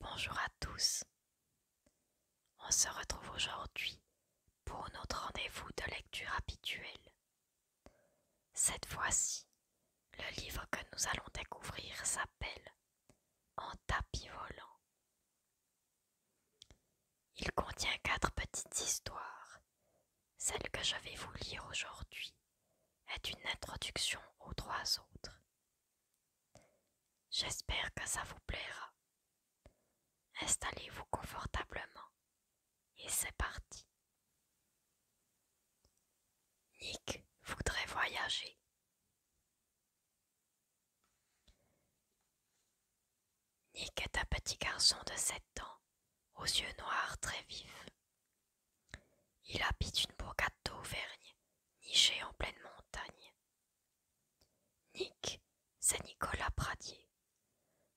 Bonjour à tous. On se retrouve aujourd'hui pour notre rendez-vous de lecture habituel. Cette fois-ci, le livre que nous allons découvrir s'appelle En tapis volant. Il contient quatre petites histoires. Celle que je vais vous lire aujourd'hui est une introduction aux trois autres. J'espère que ça vous plaira. Installez-vous confortablement et c'est parti. Nick voudrait voyager. Nick est un petit garçon de sept ans, aux yeux noirs très vifs, il habite une bourgade d'Auvergne, nichée en pleine montagne. Nick, c'est Nicolas Pradier.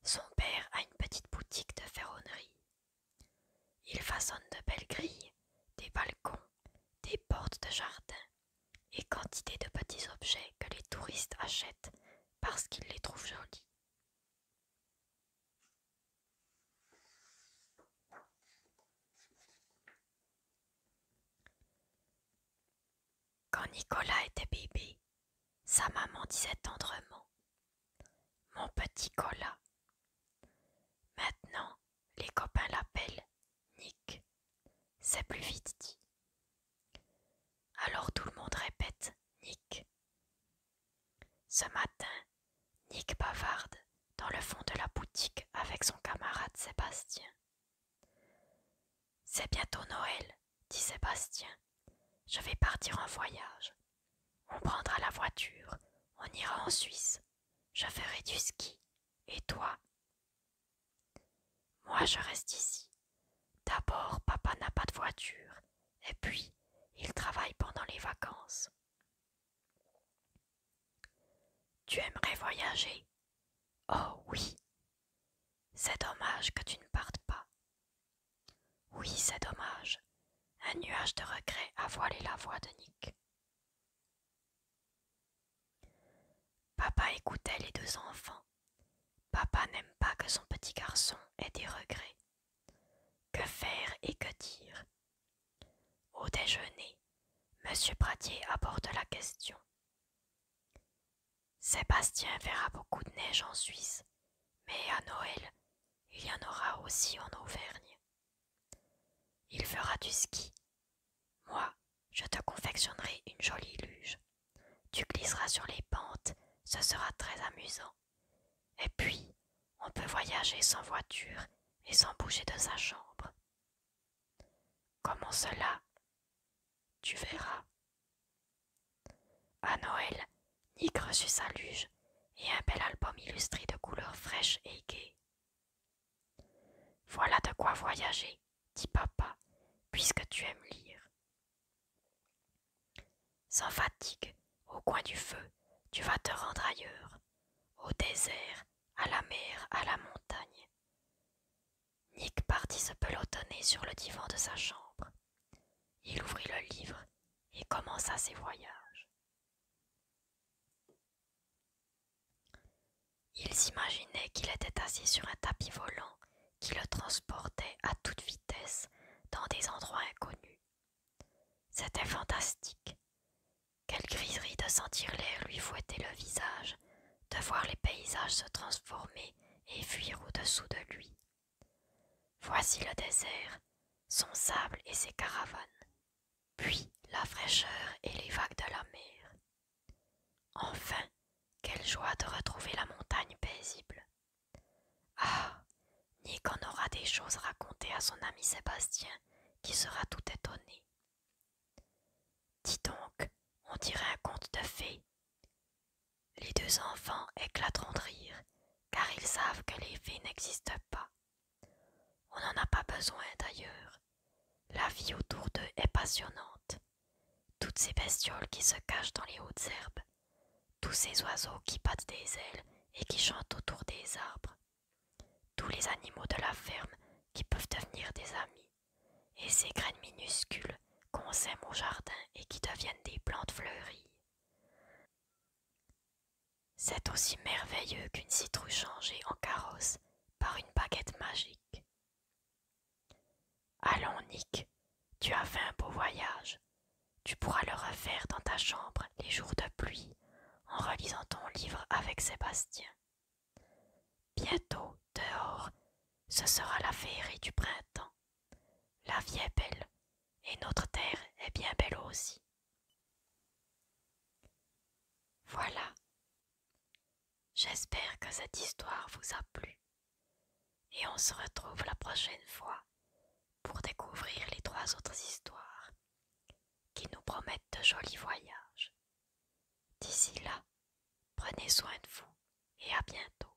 Son père a une petite boutique de ferronnerie. Il façonne de belles grilles, des balcons, des portes de jardin et quantité de petits objets que les touristes achètent parce qu'ils les trouvent jolis. Quand Nicolas était bébé, sa maman disait tendrement Mon petit Colas. Maintenant, les copains l'appellent Nick. C'est plus vite dit. Alors tout le monde répète Nick. Ce matin, Nick bavarde dans le fond de la boutique avec son camarade Sébastien. C'est bientôt Noël, dit Sébastien. Je vais partir en voyage. On prendra la voiture, on ira en Suisse. Je ferai du ski. Et toi Moi, je reste ici. D'abord, papa n'a pas de voiture, et puis il travaille pendant les vacances. Tu aimerais voyager Oh oui. C'est dommage que tu ne partes pas. Oui, c'est dommage. Un nuage de regret a voilé la voix de Nick. Papa écoutait les deux enfants Papa n'aime pas que son petit garçon ait des regrets. Que faire et que dire Au déjeuner, Monsieur Pradier aborde la question. Sébastien verra beaucoup de neige en Suisse, mais à Noël, il y en aura aussi en Auvergne. Il fera du ski moi, je te confectionnerai une jolie luge. Tu glisseras sur les pentes, ce sera très amusant. Et puis, on peut voyager sans voiture et sans bouger de sa chambre. Comment cela Tu verras. À Noël, Nick reçut sa luge et un bel album illustré de couleurs fraîches et gaies. Voilà de quoi voyager, « Dis papa, puisque tu aimes lire. Sans fatigue, au coin du feu, tu vas te rendre ailleurs, au désert, à la mer, à la montagne. Nick partit se pelotonner sur le divan de sa chambre. Il ouvrit le livre et commença ses voyages. Il s'imaginait qu'il était assis sur un tapis volant qui le transportait à toute vitesse dans des endroits inconnus. C'était fantastique. Quelle griserie de sentir l'air lui fouetter le visage, de voir les paysages se transformer et fuir au-dessous de lui. Voici le désert, son sable et ses caravanes puis la fraîcheur et les vagues de la mer. Enfin, quelle joie de retrouver la montagne paisible. Ah. Nick qu'on aura des choses racontées à son ami Sébastien, qui sera tout étonné. Dis donc, on dirait un conte de fées. Les deux enfants éclateront de rire, car ils savent que les fées n'existent pas. On n'en a pas besoin d'ailleurs. La vie autour d'eux est passionnante. Toutes ces bestioles qui se cachent dans les hautes herbes, tous ces oiseaux qui battent des ailes et qui chantent autour des arbres, tous les animaux de la ferme qui peuvent devenir des amis, et ces graines minuscules qu'on sème au jardin et qui deviennent des plantes fleuries. C'est aussi merveilleux qu'une citrouille changée en carrosse par une baguette magique. Allons, Nick, tu as fait un beau voyage. Tu pourras le refaire dans ta chambre les jours de pluie en relisant ton livre avec Sébastien. Bientôt, dehors, ce sera la féerie du printemps. La vie est belle, et notre terre est bien belle aussi. Voilà. J'espère que cette histoire vous a plu et on se retrouve la prochaine fois pour découvrir les trois autres histoires qui nous promettent de jolis voyages. D'ici là, prenez soin de vous et à bientôt.